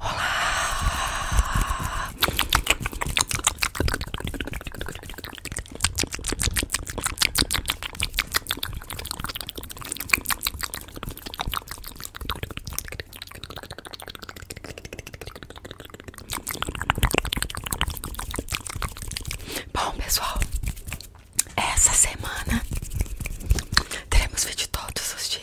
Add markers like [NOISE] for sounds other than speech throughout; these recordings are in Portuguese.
Olá! Bom, pessoal, essa semana teremos vídeo todos os dias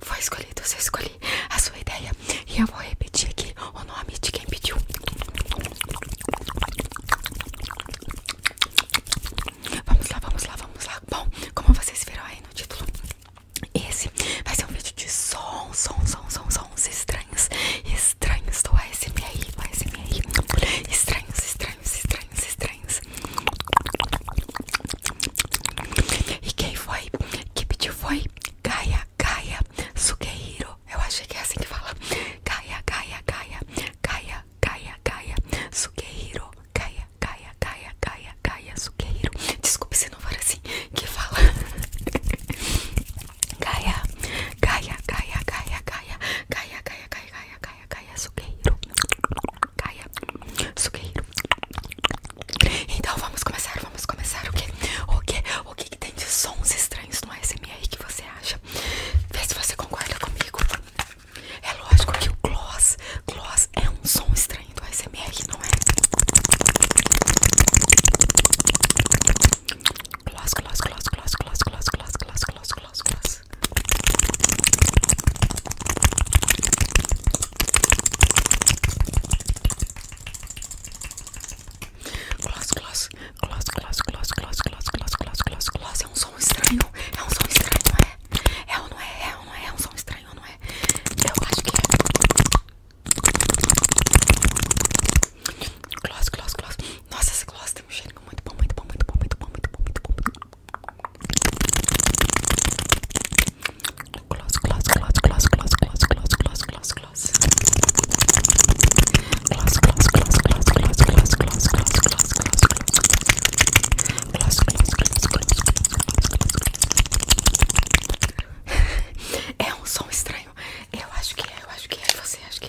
foi escolhido, você escolheu a sua ideia E eu vou repetir aqui o nome de quem pediu Vamos lá, vamos lá, vamos lá Bom, como vocês viram aí no título Esse vai ser um vídeo de som, som, som, som, sons estranhos Estranhos do ASMR, ASMR Estranhos, estranhos estranhos, estranhos, estranhos. E quem foi quem pediu foi Gaia, Gaia, suqueiro Eu achei que é assim que fala. Gaia, Gaia, Gaia, Gaia, Gaia, Gaia, suqueiro Gaia, Gaia, Gaia, Gaia, Gaia, suqueiro Desculpe se não for assim que fala. Gaia, Gaia, Gaia, Gaia, Gaia, Gaia, Gaia, Gaia, Gaia, Gaia, suqueiro Kaia Sugeiro. Então vamos começar, vamos começar. O que, o que, o que, que tem de sons estranhos no ASMR que você acha? Vê se você concorda comigo. É lógico que o gloss, gloss é um som estranho do ASMR, não é? Gloss, gloss, gloss, gloss, gloss, gloss, gloss, gloss, gloss, gloss isso. Gloss, gloss, gloss, gloss, gloss, gloss, gloss, gloss, gloss, gloss, É um som estranho, é um som estranho, não é? É ou não é? É ou não é? É um som estranho, não é? Eu acho que é. Gloss, gloss, gloss. Nossa, esse close tem um cheiro muito bom, muito bom, muito bom, muito bom, muito bom, muito bom. Gloss, gloss, gloss, gloss, gloss, gloss, gloss, gloss, gloss, gloss. Gloss, gloss, gloss, gloss, gloss, gloss, gloss, gloss, gloss, gloss. Gloss, gloss, gloss, gloss, gloss, gloss. É um som estranho. Eu acho que é, eu acho que é, você acha que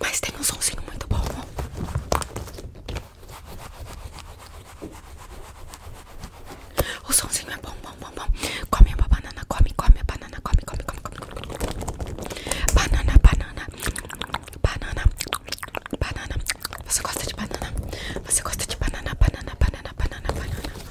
Mas tem um somzinho muito bom. O somzinho é bom, bom, bom, Come a banana, come, come a banana, come, come, come, come. Banana, banana, banana, banana. Você gosta de banana? Você gosta de banana, banana, banana, banana, banana.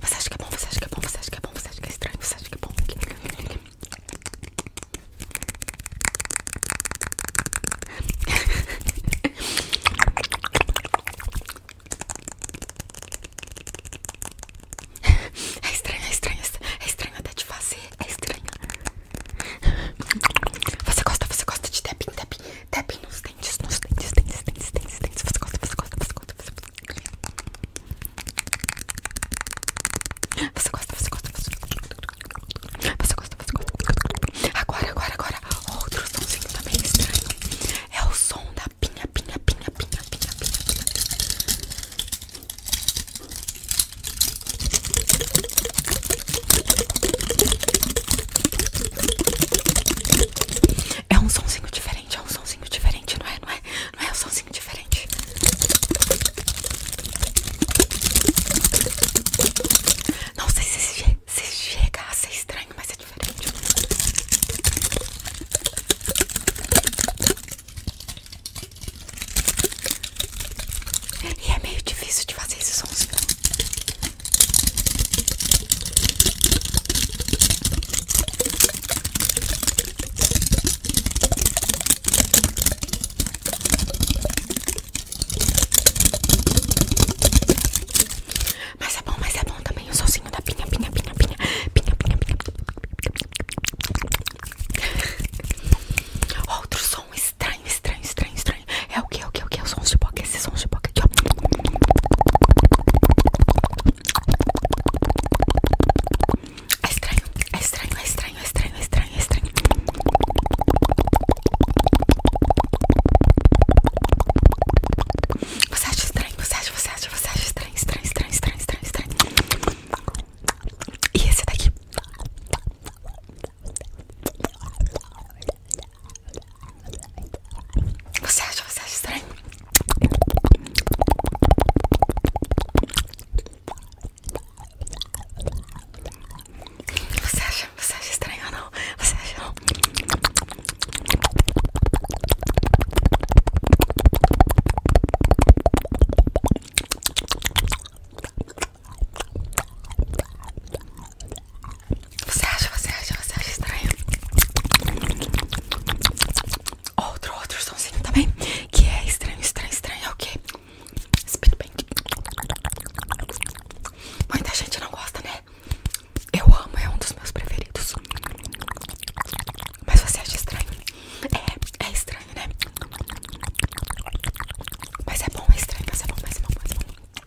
Você acha que é bom? Você acha que é bom? Você acha que é bom? Você acha que é estranho? Você acha que é bom? É estranho, é estranho, é estranho até de fazer, é estranho. Você gosta, você gosta de tapin tapin tapping nos dentes, nos dentes, dentes, dentes, dentes, dentes. Você gosta, você gosta, você gosta, você gosta, você gosta, você gosta, você gosta. Você gosta, você gosta. Agora, agora, agora. Outro somzinho também estranho. É o som da pinha, pinha, pinha, pinha, pinha, pinha, pinha. É um somzinho diferente é um somzinho diferente, não é? Não é? Não é um somzinho diferente. Não sei se, se, se chega a ser estranho, mas é diferente. E é meio difícil de fazer esse somzinho. Mas é bom, mas é bom também o solzinho da pinha, pinha, pinha, pinha, pinha, pinha, pinha. Outro som estranho, estranho, estranho, estranho. É o que, o que, o que? É o som de boca, esse som de boca aqui, ó. É estranho, é estranho, é estranho, é estranho, é estranho, é estranho. Você acha estranho, você acha, você acha, você acha estranho, estranho, estranho, estranho, estranho, estranho. E esse daqui? Você acha, você acha estranho? Você acha, você acha estranho ou não? Você acha não? Você acha, você acha, você acha estranho? Outro, outro somzinho também Que é estranho, estranho, estranho É o que? Speedpaint Muita gente não gosta, né? Eu amo, é um dos meus preferidos Mas você acha estranho? É, é estranho, né? Mas é bom, é estranho, mas é bom, mas é bom, mas é bom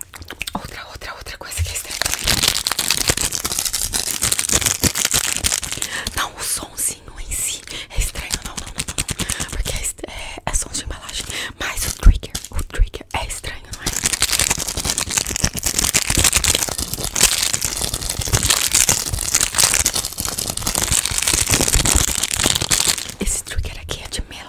Outra, outra, outra coisa que é estranha Não, o somzinho em si é estranho, não, não, não, não. Porque é, é, é, som de embalagem Mas o trigger, o trigger é estranho, não é? Esse trigger aqui é de melão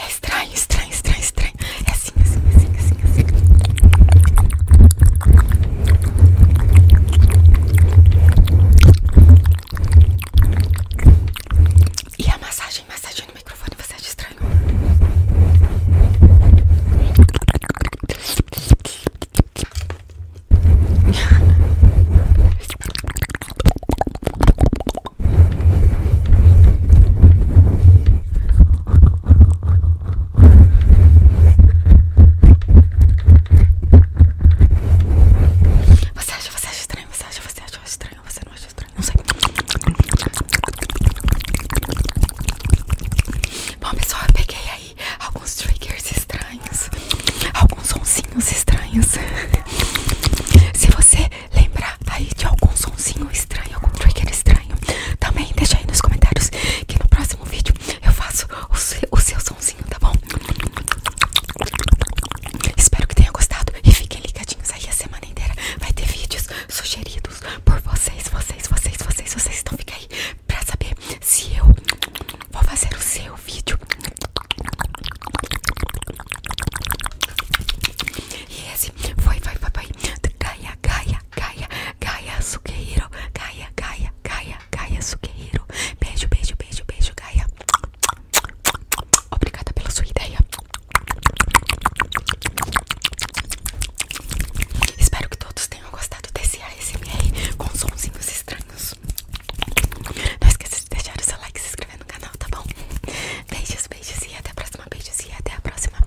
É estranho, estranho, estranho, estranho. É assim, é assim, é assim, é assim, assim. E a massagem, massagem no microfone, você acha estranho? Você acha, você acha estranho? Você acha, você acha estranho? Você não acha estranho? Não sei. Bom, pessoal, eu peguei aí alguns triggers estranhos, alguns sonsinhos estranhos. [LAUGHS] Se você lembrar aí de algum sonsinho estranho, algum trigger estranho, também deixa aí nos comentários que no próximo vídeo eu faço o seu, o sonsinho, tá bom? Espero que tenha gostado e fiquem ligadinhos aí a semana inteira. Vai ter vídeos sugeridos por vocês, vocês, vocês, vocês, vocês. Então aí aí pra saber se eu vou fazer o seu vídeo. E esse foi, vai vai vai Gaia, Gaia, Gaia, Gaia Suqueiro. Gaia, Gaia, Gaia, Gaia Suqueiro. Beijo, beijo, beijo, beijo, Gaia. Obrigada pela sua ideia. Espero que todos gostado desse ASMR com sonzinhos estranhos. Não esqueça de deixar o seu like e se inscrever no canal, tá bom? Beijos, beijos e até a próxima. Beijos e até a próxima.